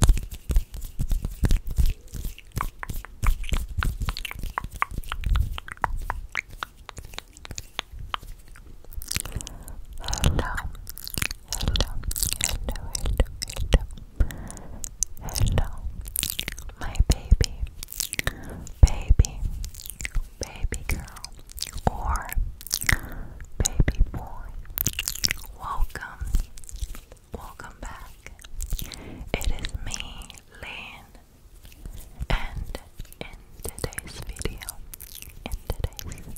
hello, hello, hello, hello, my baby, baby, baby girl, or baby boy. Welcome, Welcome back. It is me, Lynn, and in today's video, in today's,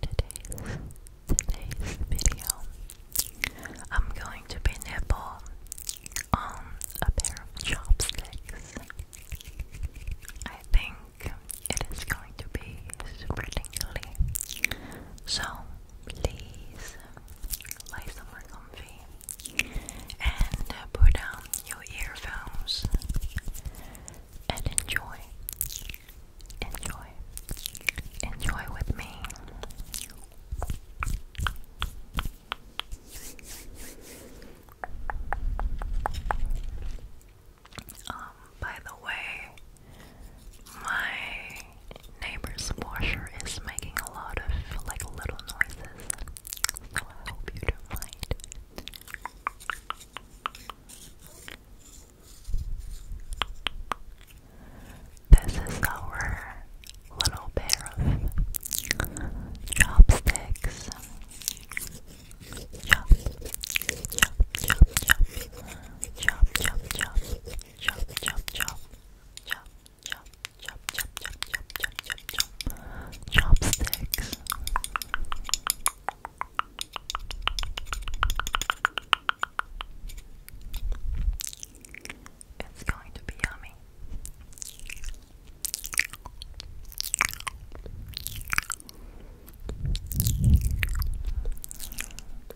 today's, today's video, I'm going to be nibble on a pair of chopsticks. I think it is going to be super tingly. So please lie somewhere comfy and put down your earphones and enjoy. Enjoy. Enjoy with me by the way, my neighbor's washer is making a lot of like little noises, so I hope you don't mind. This is our little pair of chopsticks. Chop, chop, chop, chop, chop, chop, chop chop, chop, chop, chop, chop, chop, chop, chop, chop, chop, chop, chop, chopsticks. It's going to be yummy.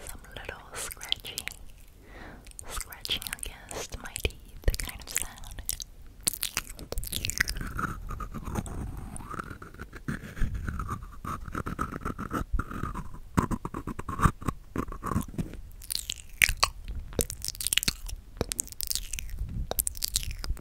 Some little scratchy, scratching against my teeth kind of sound.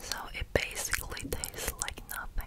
So it basically tastes like nothing.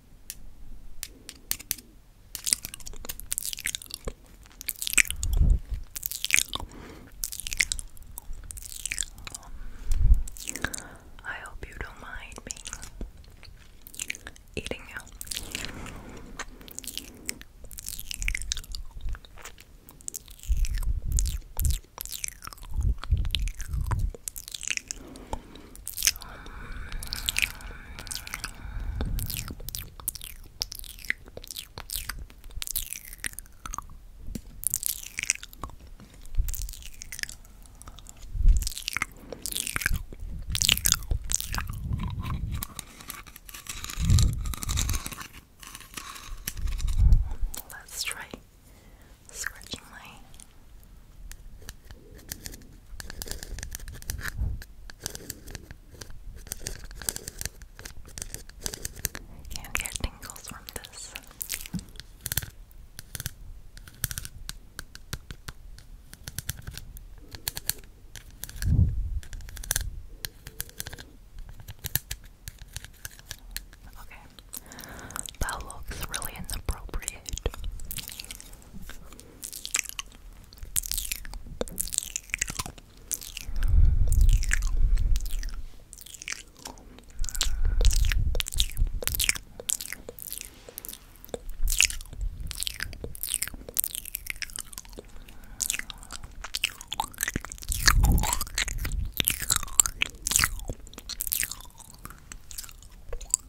I hope you don't mind me eating you. Let's try scratching my can't get tingles from this. Okay, that looks really inappropriate.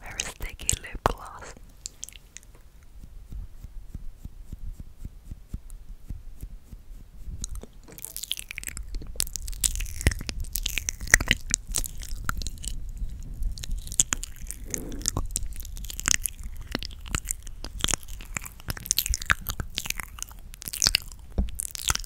Very sticky lip gloss.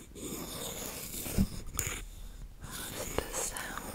the sound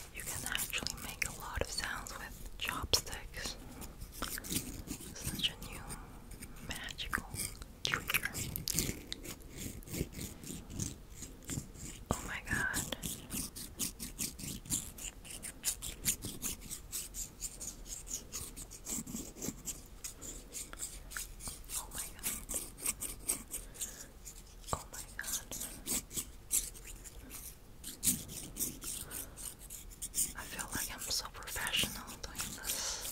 You can actually make a lot of sounds with chopsticks. Such a new magical trigger. Oh my god. Oh my god. Oh my god. I feel like I'm so professional doing this.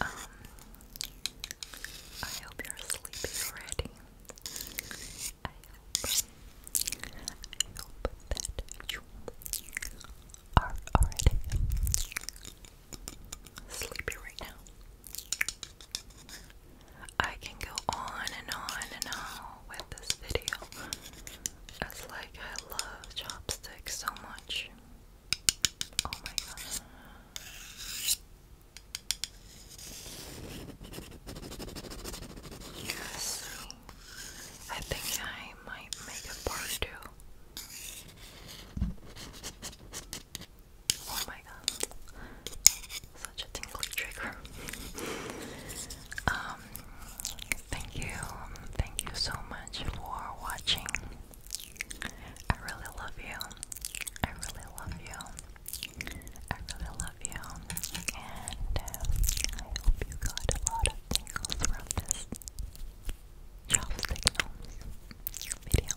Um, I hope you're sleepy already. I hope, that you are already sleepy right now. I can go on and on and on with this video. It's like I love chopsticks so much. Oh my god. Yes. I think I might make a part two. Oh my god. Such a tingly trigger. um thank you. Thank you so much for watching. I really love you. I really love you. I really love you. And uh, I hope you got a lot of tingles from this child signals video.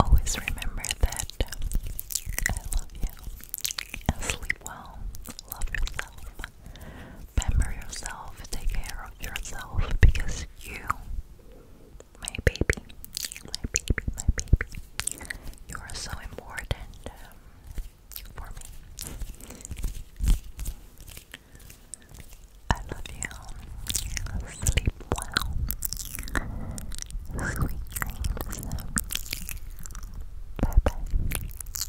Always remember that I love you and sleep well. Love yourself. Remember yourself, take care of yourself because you, my baby, my baby, my baby, you are so important um, for me. I love you. Sleep well. Sweet dreams. Bye bye.